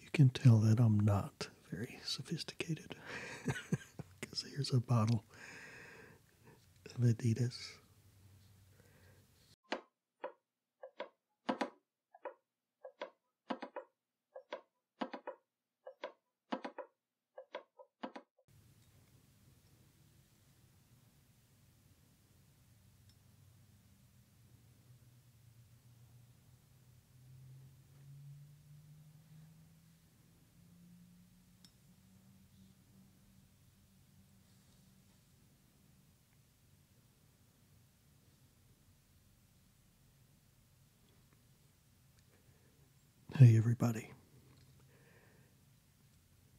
You can tell that I'm not very sophisticated because here's a bottle of Adidas. Hey everybody.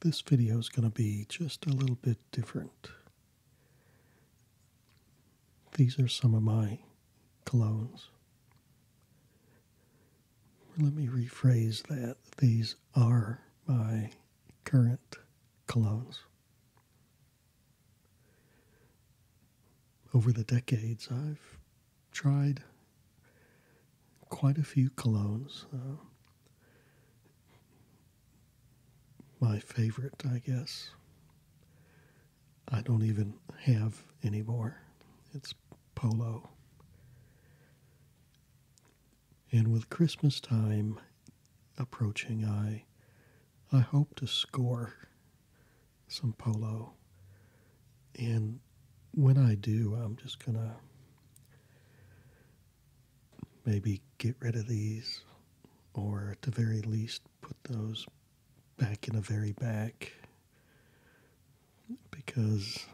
This video is going to be just a little bit different. These are some of my colognes. Let me rephrase that. These are my current colognes. Over the decades, I've tried quite a few colognes. Uh, my favorite, I guess. I don't even have anymore. It's polo. And with Christmas time approaching, I I hope to score some polo. And when I do, I'm just going to maybe get rid of these or at the very least put those back in the very back because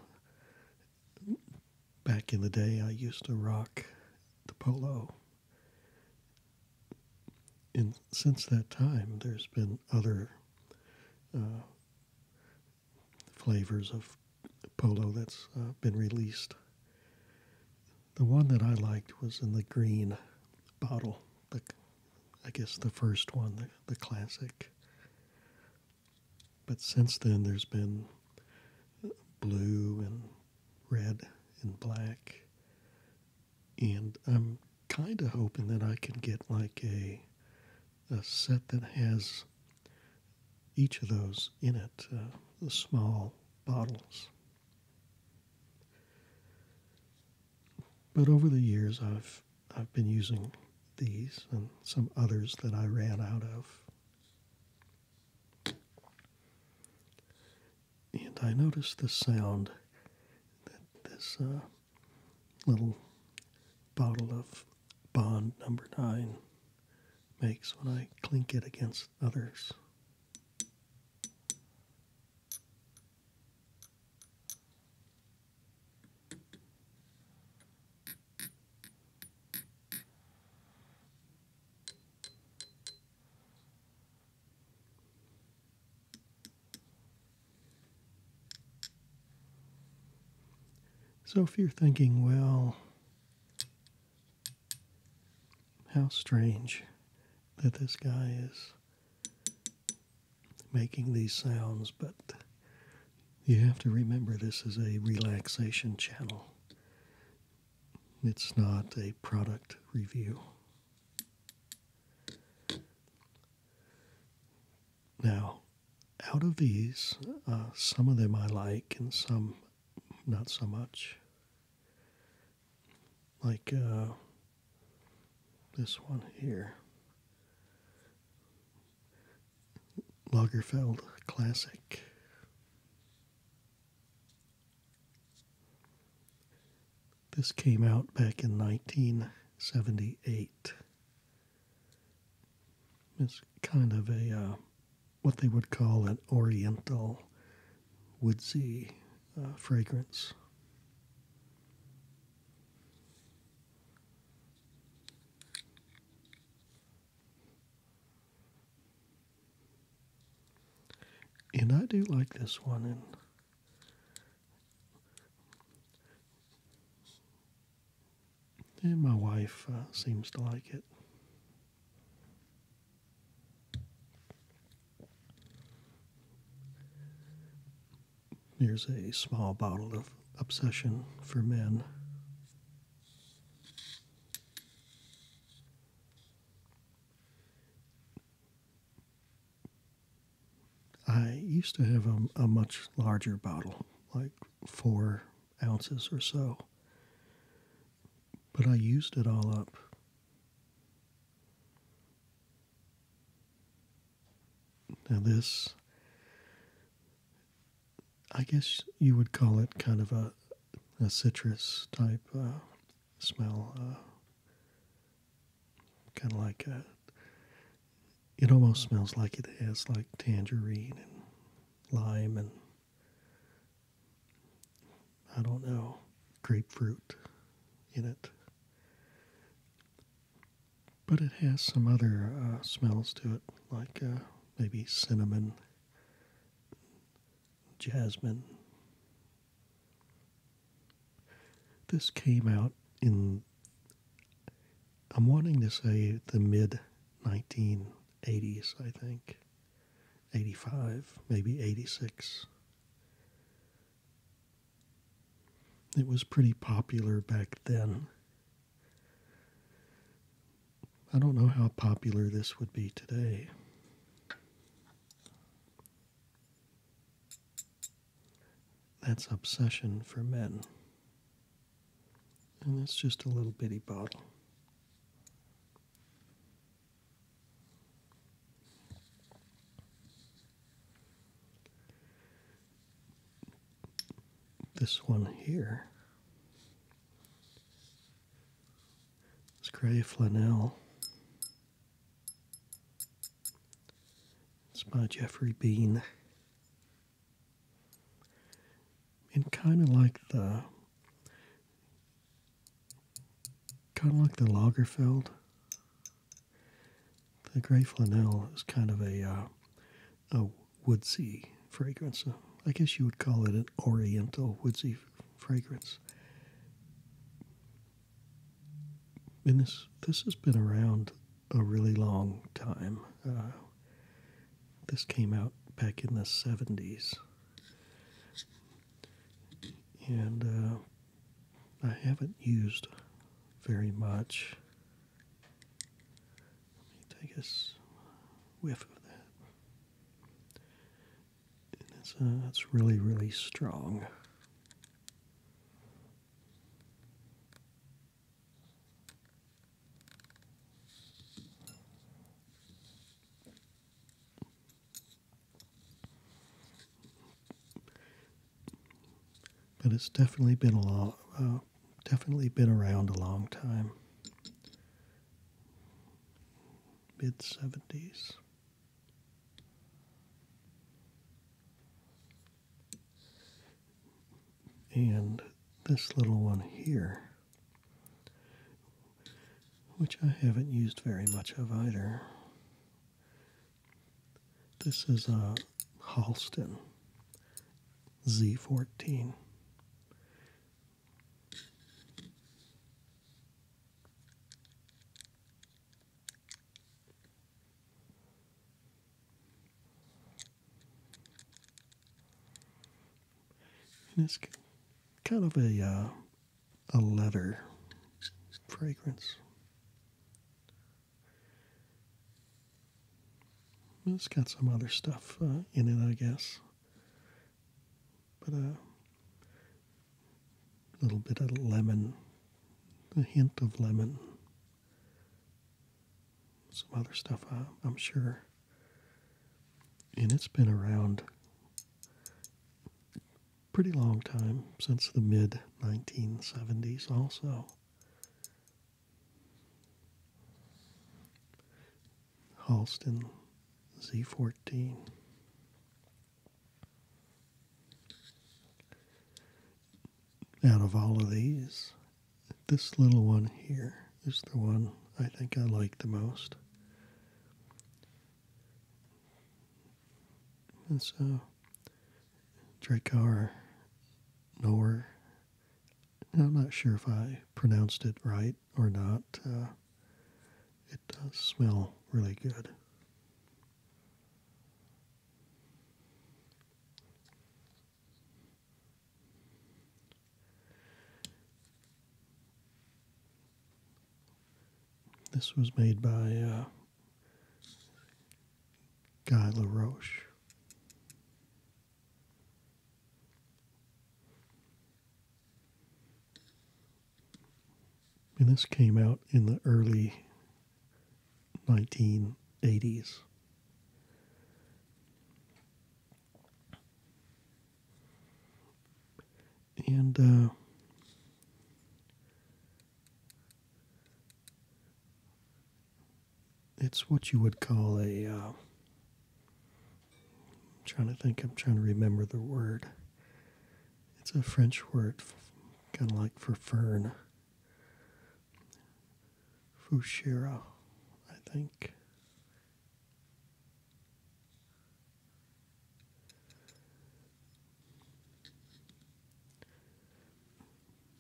back in the day I used to rock the polo. And since that time, there's been other uh, flavors of polo that's uh, been released. The one that I liked was in the green bottle. The, I guess the first one, the, the classic. But since then, there's been uh, blue and red and black. And I'm kind of hoping that I can get like a a set that has each of those in it, uh, the small bottles. But over the years, I've I've been using these and some others that I ran out of. And I noticed the sound that this uh, little bottle of Bond number nine makes when I clink it against others. So, if you're thinking, well, how strange, that this guy is making these sounds, but you have to remember this is a relaxation channel. It's not a product review. Now, out of these, uh, some of them I like and some not so much like uh, this one here Lagerfeld Classic. This came out back in 1978. It's kind of a uh, what they would call an oriental woodsy uh, fragrance. And I do like this one and my wife uh, seems to like it. Here's a small bottle of Obsession for Men. I used to have a, a, much larger bottle, like four ounces or so, but I used it all up now, this, I guess you would call it kind of a, a citrus type uh, smell, uh, kind of like a, it almost smells like it has like tangerine and lime and I don't know, grapefruit in it. But it has some other uh, smells to it, like uh, maybe cinnamon, jasmine. This came out in, I'm wanting to say the mid 1980s, I think. 85, maybe 86. It was pretty popular back then. I don't know how popular this would be today. That's Obsession for Men. And that's just a little bitty bottle. This one here is gray flannel. It's by Jeffrey Bean. And kind of like the Kind of like the Lagerfeld. The gray flannel is kind of a uh, a woodsy fragrance. I guess you would call it an oriental woodsy fragrance. And this this has been around a really long time. Uh, this came out back in the 70s. And uh, I haven't used very much. Let me take a whiff of that. it's, uh, it's really, really strong. But it's definitely been a long, uh, definitely been around a long time. Mid seventies. And this little one here, which I haven't used very much of either. This is a uh, Halston Z14. And it's kind of a uh, a leather fragrance. It's got some other stuff uh, in it, I guess. But a uh, little bit of lemon, a hint of lemon, some other stuff, uh, I'm sure. And it's been around pretty long time, since the mid 1970s, also. Halston Z14. Out of all of these, this little one here is the one I think I like the most. And so Drakar, Nor, I'm not sure if I pronounced it right or not. Uh, it does smell really good. This was made by uh, Guy LaRoche. And this came out in the early 1980s and uh, it's what you would call a. am uh, trying to think. I'm trying to remember the word. It's a French word, kind of like for fern. Fushira, I think.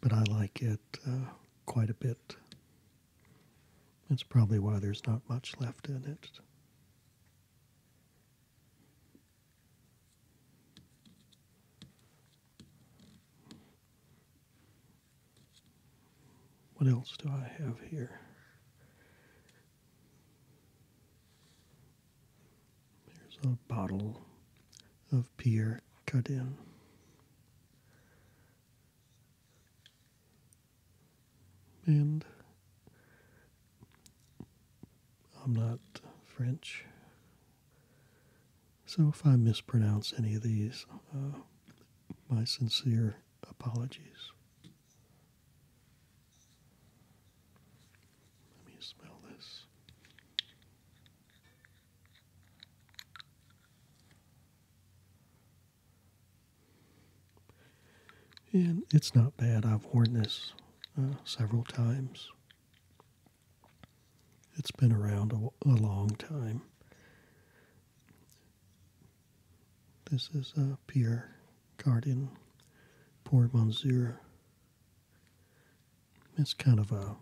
But I like it uh, quite a bit. That's probably why there's not much left in it. What else do I have here? There's a bottle of Pierre Cardin. And I'm not French, so if I mispronounce any of these, uh, my sincere apologies. Let me smell this. And it's not bad. I've worn this uh, several times. It's been around a, long time. This is uh, pure Guardian, Poor Monsieur. It's kind of a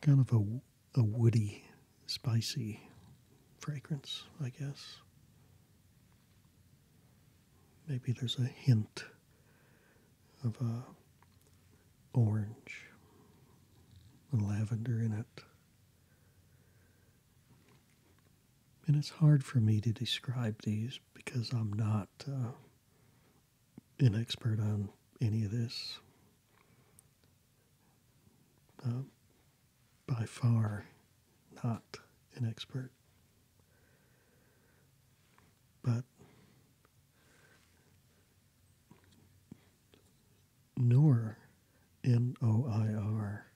kind of a, a woody, spicy fragrance, I guess. Maybe there's a hint of a orange and lavender in it and it's hard for me to describe these because I'm not uh, an expert on any of this. Um, by far, not an expert. But Noor, N O I R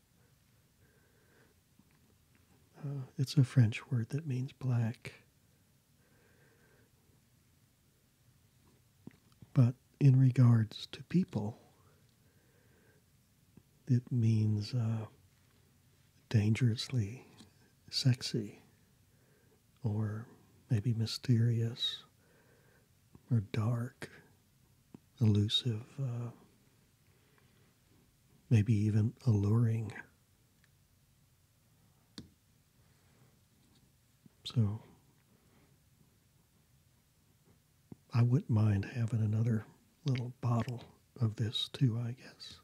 uh, it's a French word that means black. But in regards to people, it means uh, dangerously sexy or maybe mysterious or dark, elusive, uh, maybe even alluring. So I wouldn't mind having another little bottle of this too, I guess.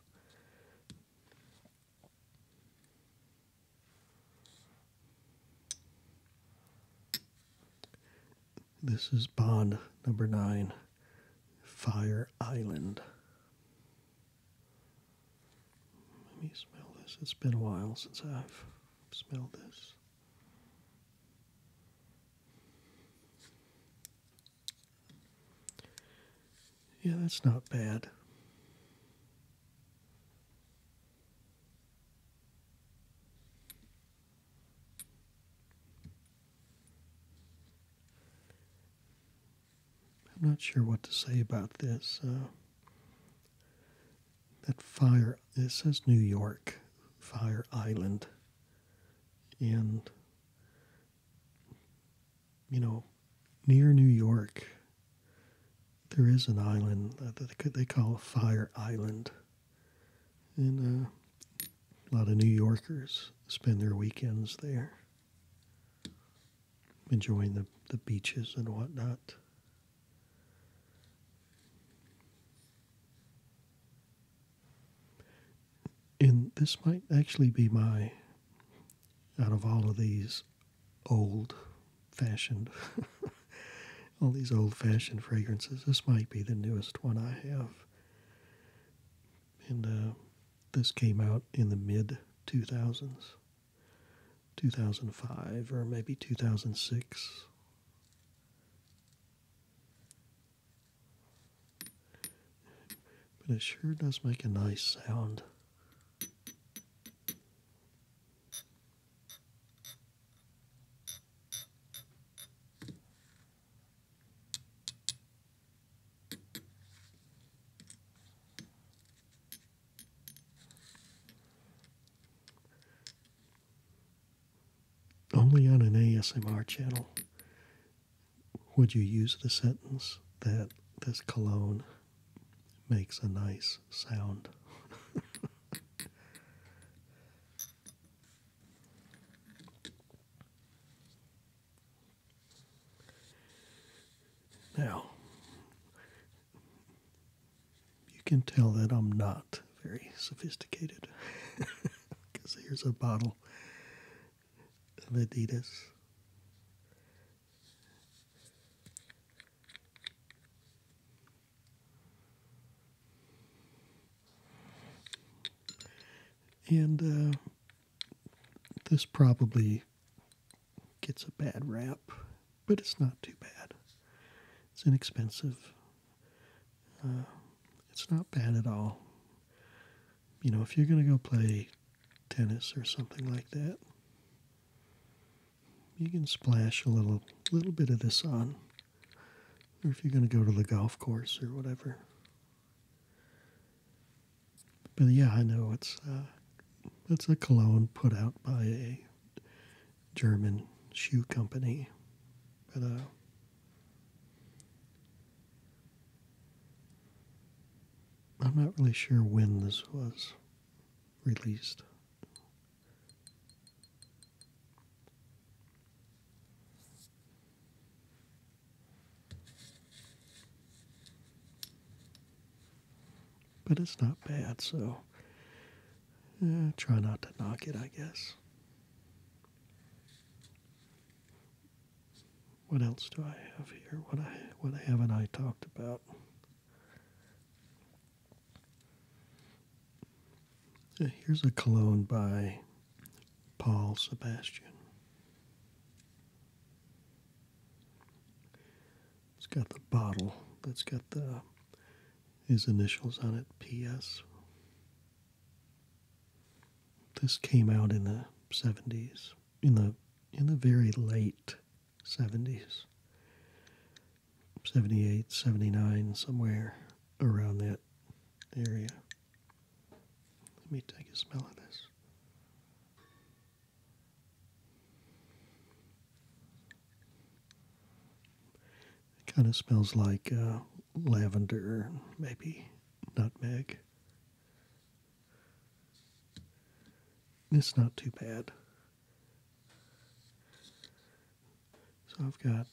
This is Bond number nine, Fire Island. Let me smell this. It's been a while since I've smelled this. Yeah, that's not bad. I'm not sure what to say about this. Uh, that fire, This says New York, Fire Island. And, you know, near New York, there is an island that they call Fire Island. And uh, a lot of New Yorkers spend their weekends there, enjoying the, the beaches and whatnot. And this might actually be my, out of all of these old fashioned, all these old fashioned fragrances, this might be the newest one I have and uh, this came out in the mid 2000s 2005 or maybe 2006 but it sure does make a nice sound only on an ASMR channel would you use the sentence that this cologne makes a nice sound. Now, you can tell that I'm not very sophisticated because here's a bottle of Adidas. And uh, this probably gets a bad rap, but it's not too bad. It's inexpensive. Uh, it's not bad at all. You know, if you're going to go play tennis or something like that, you can splash a little little bit of this on. Or if you're going to go to the golf course or whatever, but yeah, I know it's uh, it's a cologne put out by a German shoe company, but uh, I'm not really sure when this was released. But it's not bad, so eh, try not to knock it, I guess. What else do I have here? What I what haven't I talked about? Eh, here's a cologne by Paul Sebastian. It's got the bottle that's got the his initials on it, PS. This came out in the 70s, in the in the very late 70s. 78, 79, somewhere around that area. Let me take a smell of this. It kind of smells like uh, lavender, maybe nutmeg. It's not too bad. So I've got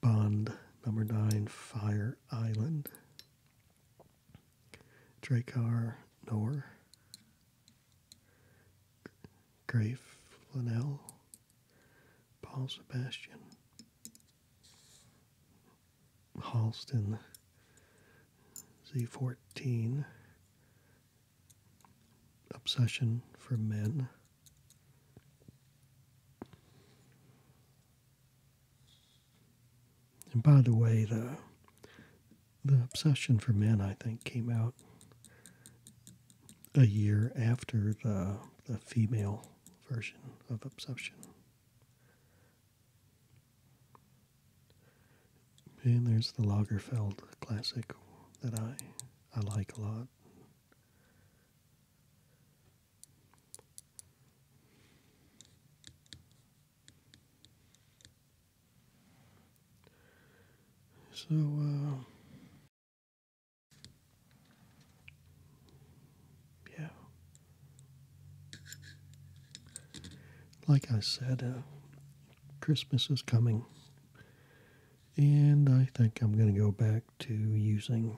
Bond number nine, Fire Island. Dracar Noor. Grave, Flanell. Paul Sebastian. Halston Z14 Obsession for Men and by the way, the the obsession for men, I think, came out a year after the the female version of obsession. And there's the Lagerfeld classic that I I like a lot. So, uh, yeah. Like I said, uh, Christmas is coming. And I think I'm going to go back to using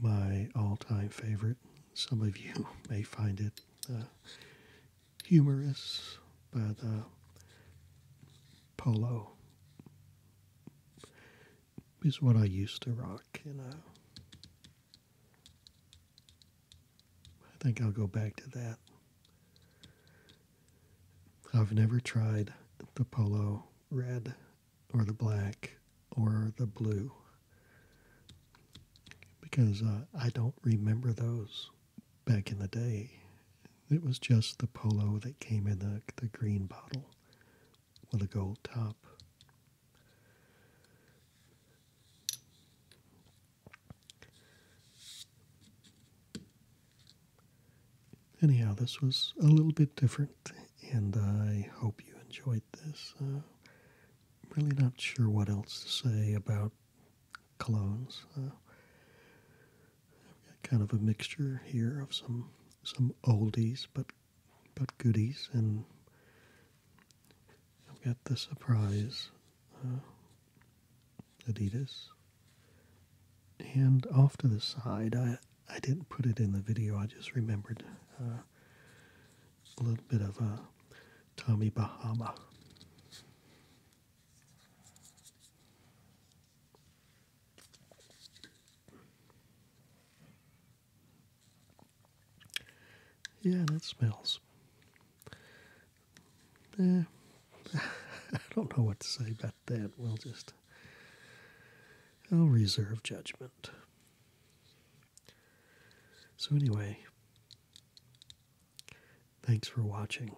my all time favorite. Some of you may find it uh, humorous, but uh, polo is what I used to rock. You uh, know, I think I'll go back to that. I've never tried the polo red or the black or the blue because uh, I don't remember those back in the day. It was just the polo that came in the green bottle with a gold top. Anyhow, this was a little bit different, and I hope you enjoyed this. Uh, really not sure what else to say about colognes. Uh, I've got kind of a mixture here of some some oldies, but but goodies, and I've got the surprise uh, Adidas and off to the side I I didn't put it in the video I just remembered uh, a little bit of uh, Tommy Bahama yeah that smells eh, I don't know what to say about that we'll just I'll reserve judgment. So, anyway, thanks for watching.